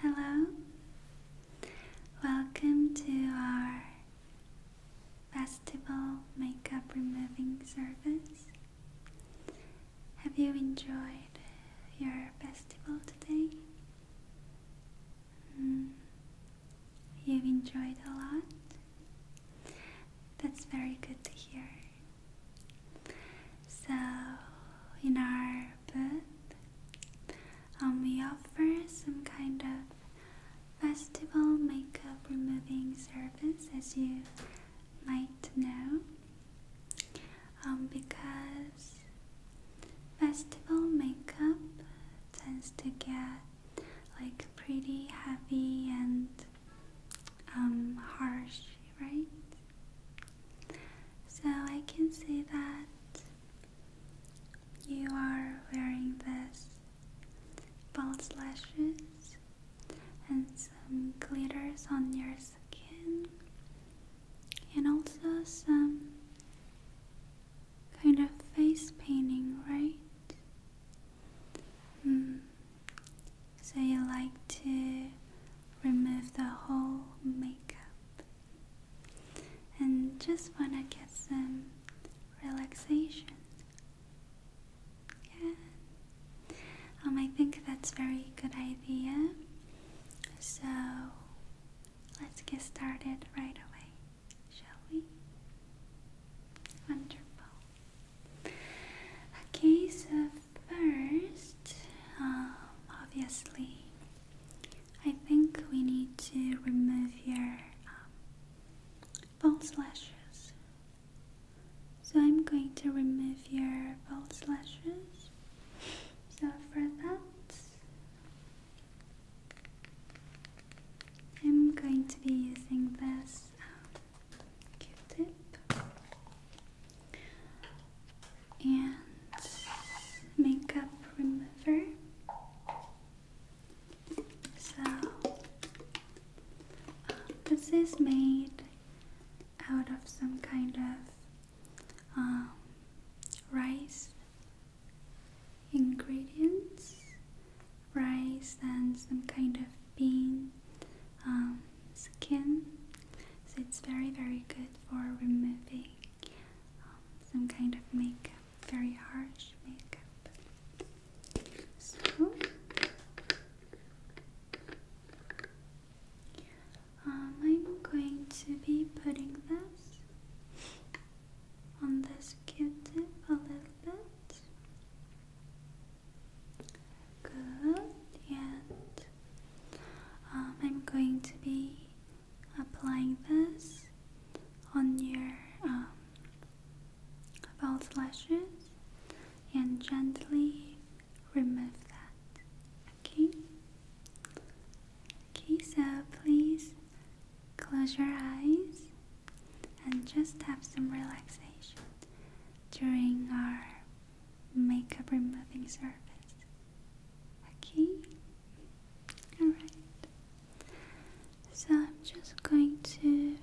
Hello, welcome to our festival makeup removing service. Have you enjoyed your festival today? Hmm. You've enjoyed a lot? That's very good to hear. So, in our carpet. Um, we offer some kind of festival makeup removing service, as you might know, um, because festival makeup tends to get like pretty heavy and um, harsh, right? So I can see that you are wearing this false lashes and some glitters on your skin and also some kind of face painting, right? Hmm. So you like to remove the whole makeup and just wanna get some relaxation. Yeah. Um, I think that's very good idea. So let's get started right away, shall we? Wonderful. Okay, so first, um, obviously, I think we need to remove your um, false lashes. So I'm going to remove your false lashes. So for that, I'm going to be using this um, Q-tip and makeup remover. So, um, this is made out of some kind of um, rice ingredients, rice and some kind of bean um, skin. So, it's very, very good for removing um, some kind of makeup, very harsh makeup. So, um, I'm going to be putting this on this Q-tip a little bit. Good, and um, I'm going to be applying this on your um, false lashes and gently remove that. Okay? Okay, so please close your eyes and just have some relaxation during our makeup removing service. Okay? Alright. So I'm just going to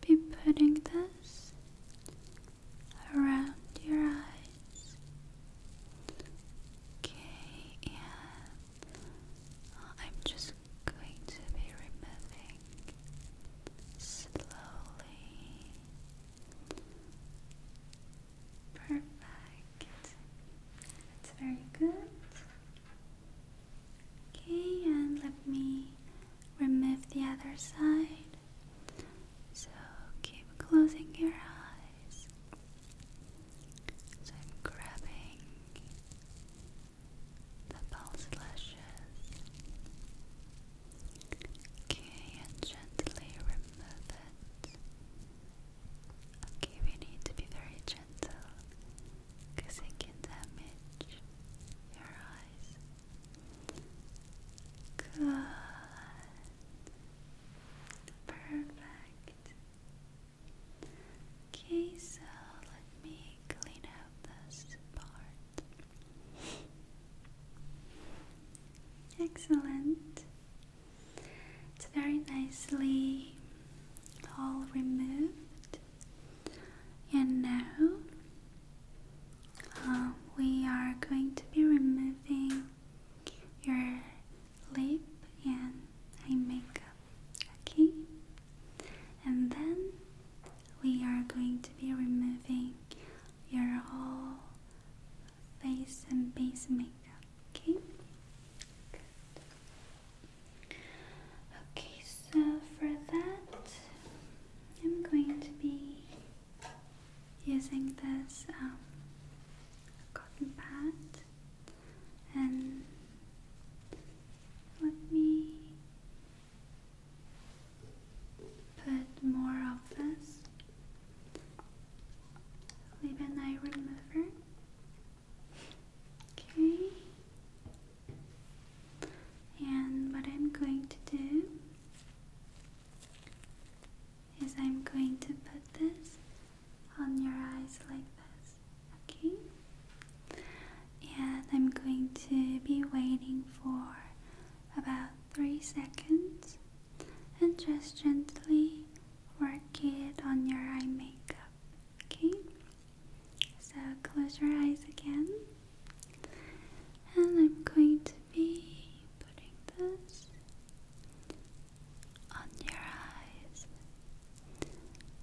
be putting this around your eyes. Okay, and I'm just going to be removing slowly. Perfect. That's very good. Okay, and let me remove the other side. So keep closing your eyes. So grabbing the pulse lashes. Okay, and gently remove it. Okay, we need to be very gentle because it can damage your eyes. Good. Perfect. Okay, so let me clean out this part. Excellent. It's very nicely all removed. And now um, we are going to be removing your lip and eye makeup. Okay? And then we are going to be removing your whole face and base makeup. Okay. Okay, so for that, I'm going to be using this um, cotton pad and let me put more of this Leave an eye remover. Okay. And what I'm going to do is I'm going to put this on your eyes like this. Okay? And I'm going to be waiting for about 3 seconds and just gently work it on your eye makeup. Okay? So close your eyes again. And I'm going to be putting this on your eyes.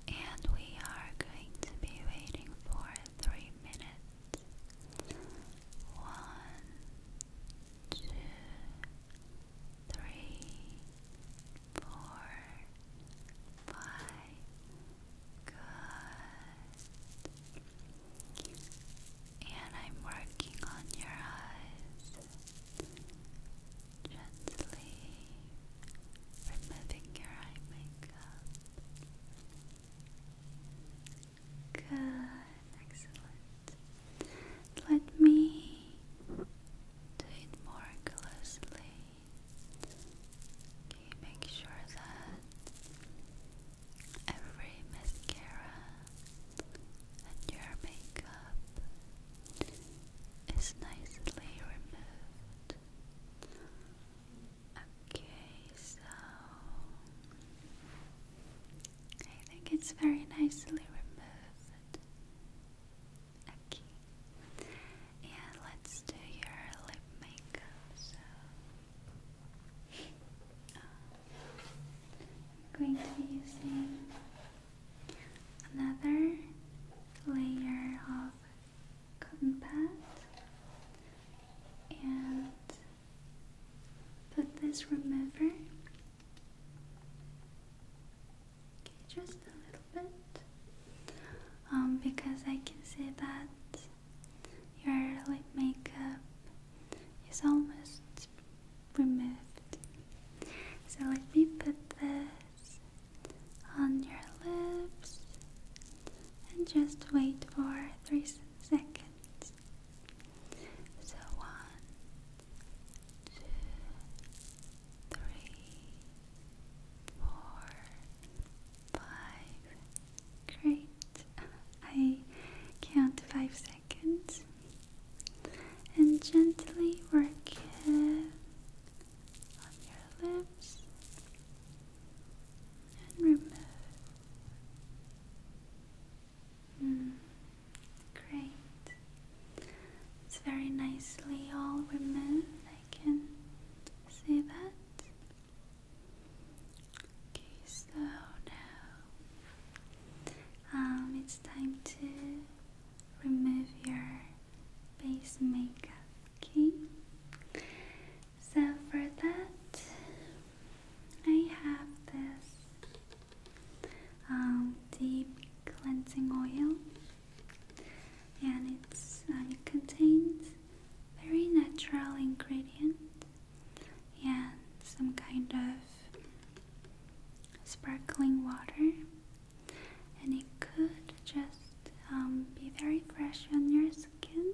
And we are going to be waiting for three minutes. One, two, three, four, five. Good. And I'm working on your eyes. Gently removing your eye makeup. Good, excellent. Let me do it more closely. Okay, make sure that every mascara and your makeup is nicely removed. Okay, so I think it's very nicely removed. Okay. And let's do your lip makeup. So um, I'm going to be using another layer of cotton pad and put this remover okay, just a little bit um, because I can see that your lip makeup is almost removed so let me put this on your lips and just wait for three seconds so one, two, three, four, five. Great. I count five seconds and gently work it on your lips and remove. Mm. great. It's very nicely all removed. I can see that. Okay, so now um, it's time to remove your base makeup. Okay. So for that, I have this um, deep cleansing oil, and it's uh, it contains very natural ingredients and some kind of sparkling water, and it could just um, be very fresh on your skin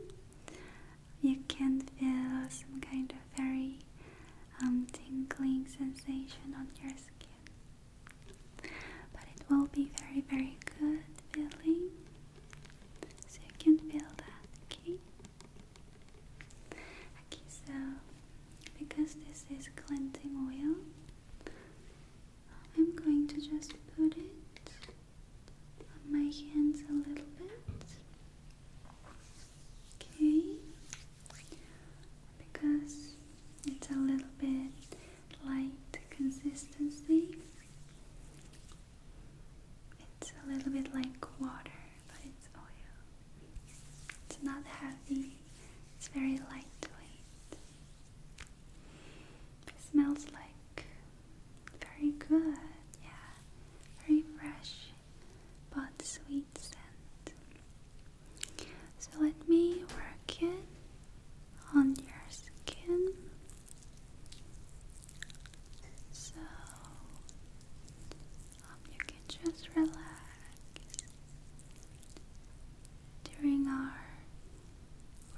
you can feel some kind of very um, tingling sensation on your skin. But it will be very, very good feeling. So you can feel that, okay? Okay, so because this is cleansing oil, I'm going to just put it on my hands a little bit. Okay, because it's a little bit light consistency, it's a little bit like water, but it's oil. It's not heavy, it's very lightweight. It smells like very good, yeah, very fresh but sweet scent. So let me work it on your skin. So you can just relax during our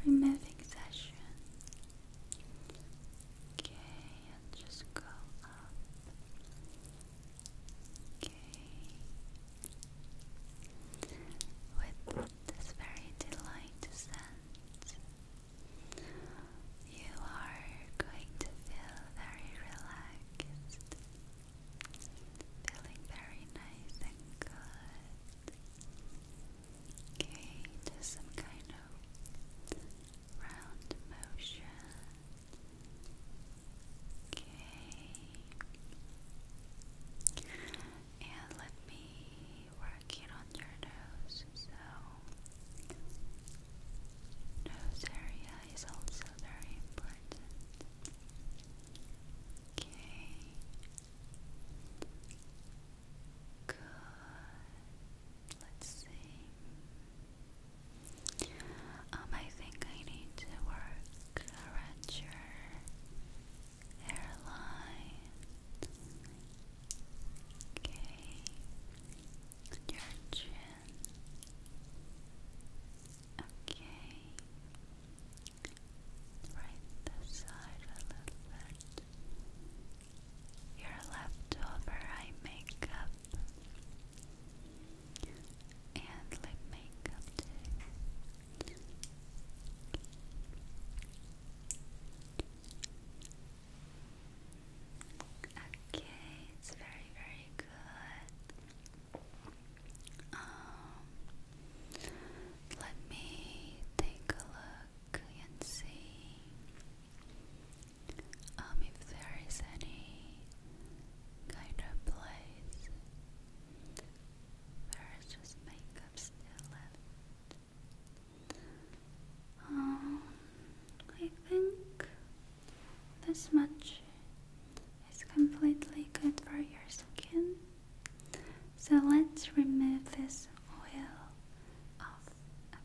removing session. Okay, just go up. Okay. With this very delight scent, you are going to feel very relaxed, feeling very nice and good. Okay, some kind of round motion. Okay. And let me work it on your nose. So, nose area is also very important. Okay. Good. Let's see. Um, I think I need to work around your hairline. Okay. Your chin. Okay. Right this side a little bit. Your leftover eye makeup and lip makeup Okay, it's very, very good. Um, let me take a look and see um, if there is any kind of place where is just makeup still left. Um, I think this much is completely good for your skin. So let's remove this oil off.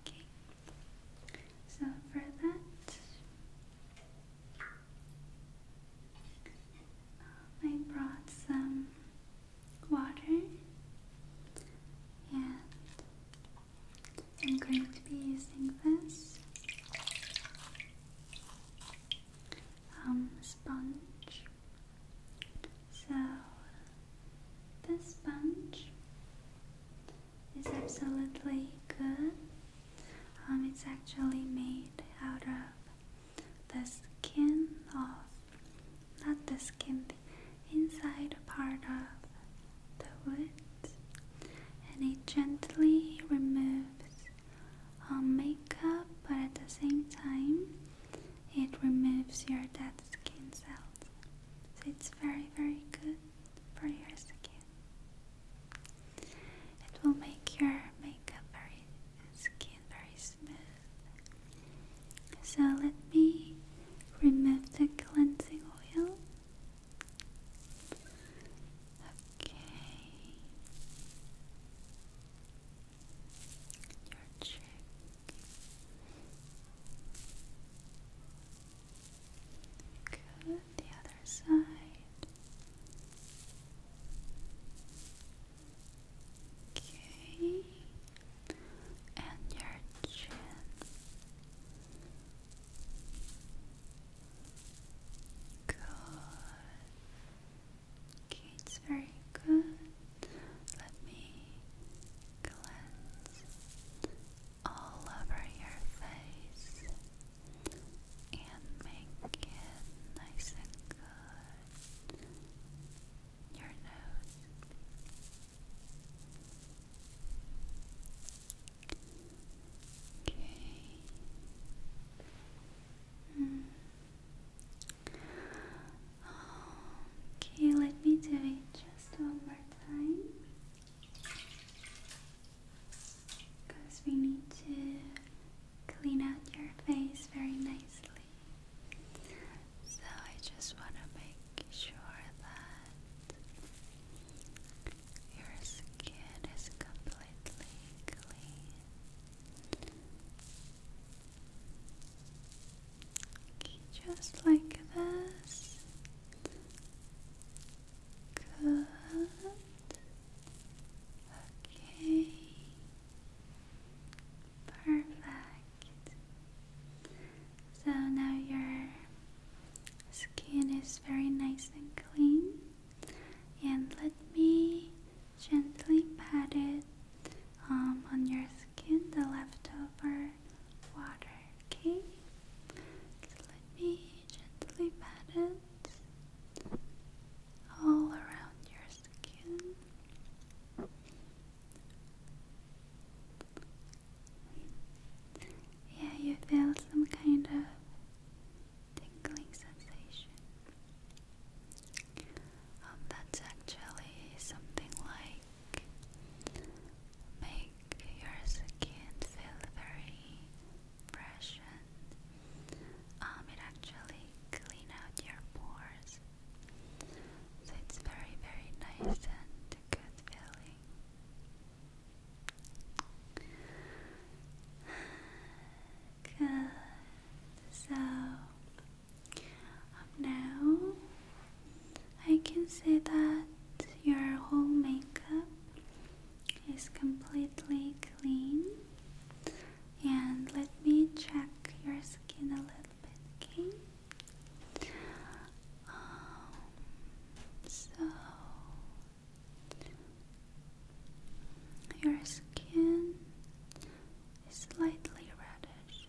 Okay. So for that, I brought some water and I'm going to be using this um, sponge. So this sponge it's absolutely good. Um, it's actually made out of the skin of, not the skin, the inside part of the wood, and it gently removes um, makeup, but at the same time, it removes your dead skin cells. So it's very, very good for your skin. It will make your makeup very skin very smooth. So let me remove the cleansing oil. Okay. Your cheek. Good, the other side. Okay, and your chin. Good. Okay, it's very good. Let me glance all over your face and make it nice and good. Your nose. Okay. Mm. Okay, let me do it just one more time because we need to clean out your face very nicely. So I just want to make sure that your skin is completely clean. just like this. Good. Okay. Perfect. So now your skin is very nice and clean. And let me gently pat it um, on your skin, the leftover water, okay? let me gently pat it all around your skin. Yeah, you feel some kind of tingling sensation. Um, that's actually something like make your skin feel very fresh and um, it actually clean out your pores so it's very very nice and good feeling good so now I can say that your whole makeup is completely clean. And let me check your skin a little bit, okay? Um, so, your skin is slightly reddish.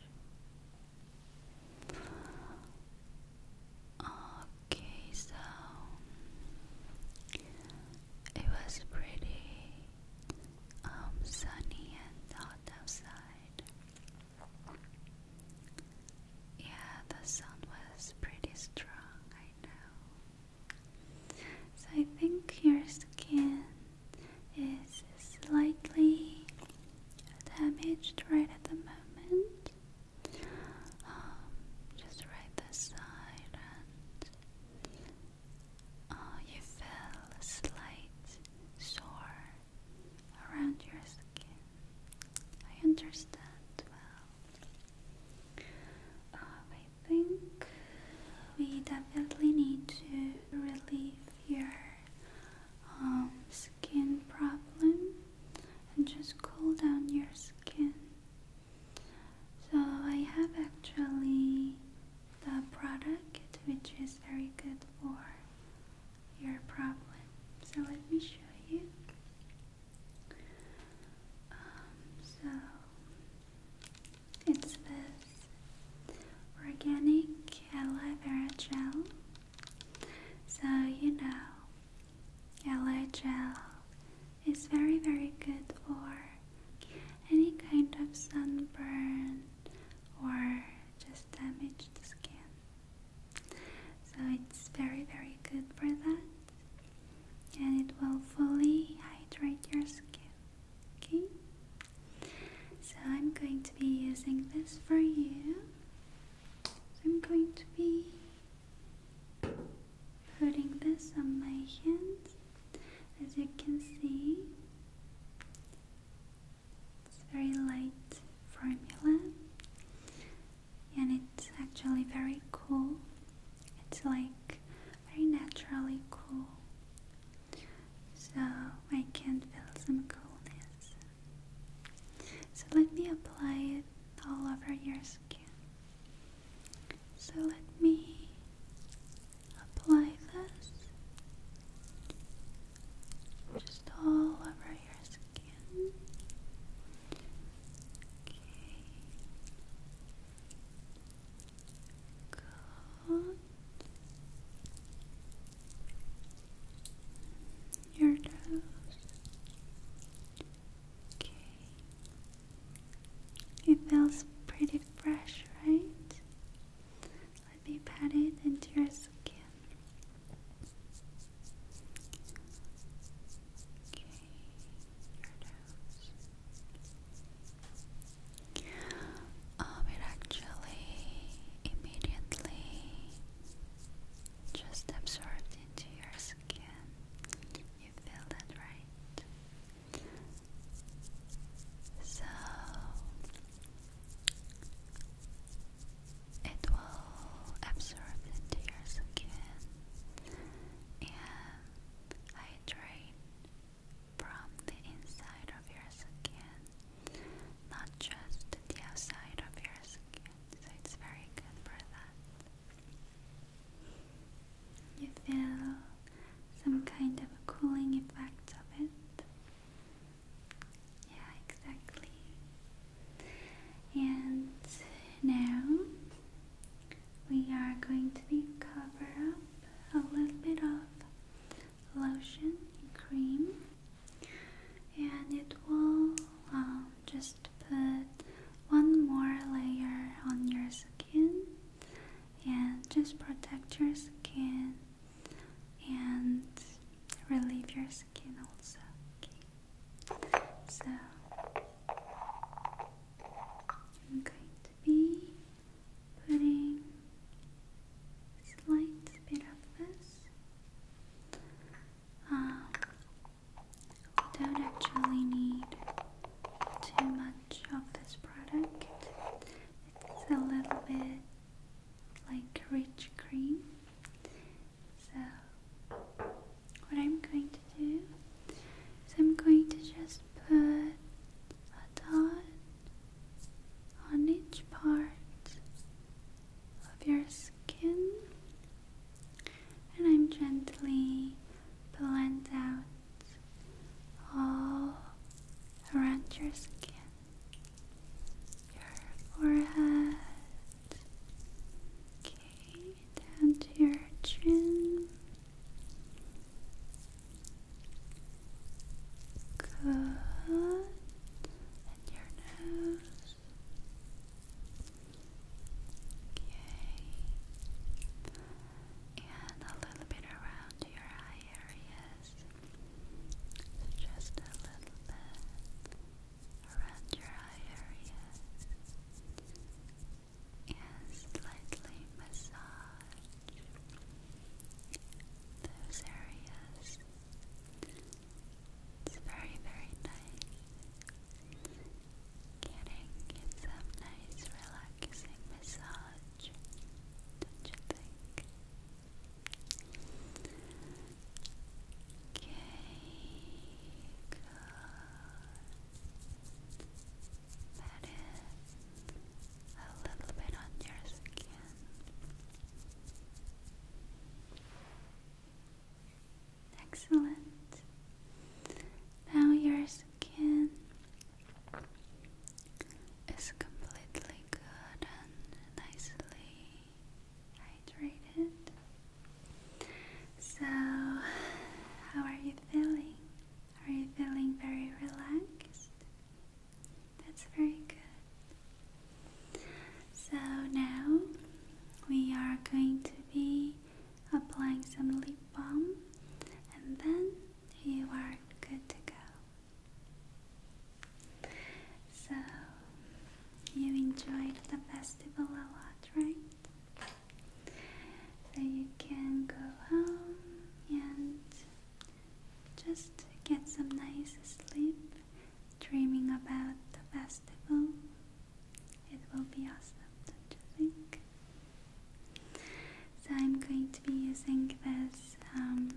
Okay, so it was pretty um, sunny and hot outside. Yeah, the sun was pretty strong, I know. So I think your skin is slightly damaged right at the moment. Um, just right this side and uh, you feel slight sore around your skin. I understand well. Uh, I think we definitely need to relieve your arms. Um, skin problem and just cool down your skin. So, I have actually the product which is very good for your problem. So, let me show you. Um, so, it's this organic aloe vera gel. So, you know, LA gel is very very good for any kind of sunburn or just damaged skin. So it's very very good for that and it will fully hydrate your skin. Okay? So I'm going to be using this for you. So I'm going to be putting this on my hands as you can see it's very light formula and it's actually very cool it's like very naturally cool so I can feel some coolness so let me apply it all over your skin. So let me apply this just all over your skin. Okay. Good. Your nose. Okay. It feels pretty fresh, right? Let me pat it into your skin. Okay, your nose. Um, it actually immediately just absorbed into your skin. You feel that, right? So it will absorb into your skin and hydrate from the inside of your skin, not just the outside of your skin. So it's very good for that. You feel some kind of cooling effect of it. Yeah, exactly. And now we are going to be cover up a little bit of lotion cream, and it will um, just put one more layer on your skin and just protect your skin and relieve your skin also. Okay. So I'm going to be putting slight bit of this. Um, don't actually need too much of this product. It's a little bit like rich cream. So, what I'm going to do is I'm going to just put a dot on each part of your skin and I'm gently blend out all around your skin, your forehead, okay, down to your chin. Good, and your nose. Okay. And a little bit around your eye areas. just a little bit around your eye areas. And slightly massage those areas. It's very, very nice. Getting some nice relaxing massage, you Okay, good. Pat a little bit on your skin. Excellent. Now your skin is completely good and nicely hydrated. So, how are you feeling? Are you feeling very relaxed? That's very good. So now we are going to be applying some lip balm, and then you are good to go. So, you enjoyed the festival a lot, right? So, you can go home and just get some nice sleep dreaming about the festival. It will be awesome, don't you think? So I'm going to be using this um,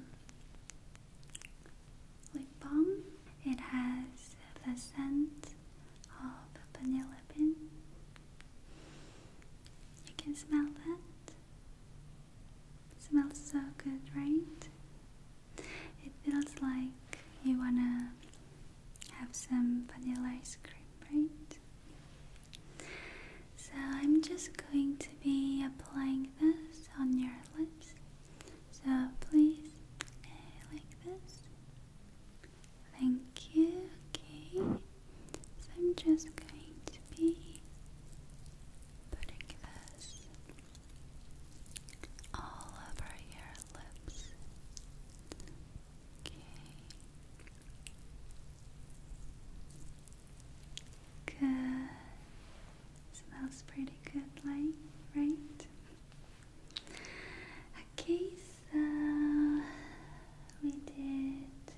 lip balm. It has the scent of vanilla bean. You can smell that. smells so good, right? It feels like you wanna have some vanilla ice cream, right? So I'm just going to be applying this on your lips. So please, eh, like this. Thank you. Okay. So I'm just going to be putting this all over your lips. Okay. Good. Smells pretty good, like, right? Okay, so we did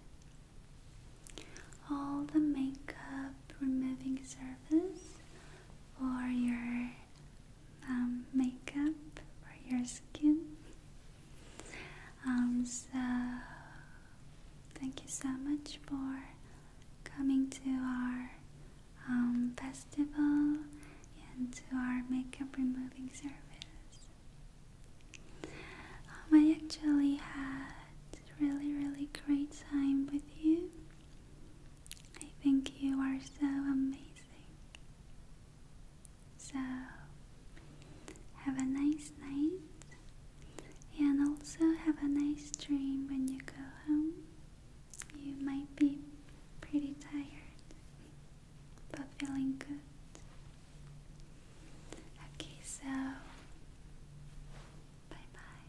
all the makeup removing service for your um, makeup for your skin. Um, so, thank you so much for coming to our um, festival and to our makeup removing service. I actually had really, really great time with you. I think you are so amazing. So, have a nice night and also have a nice dream when you go home. You might be pretty tired but feeling good. Okay, so bye bye.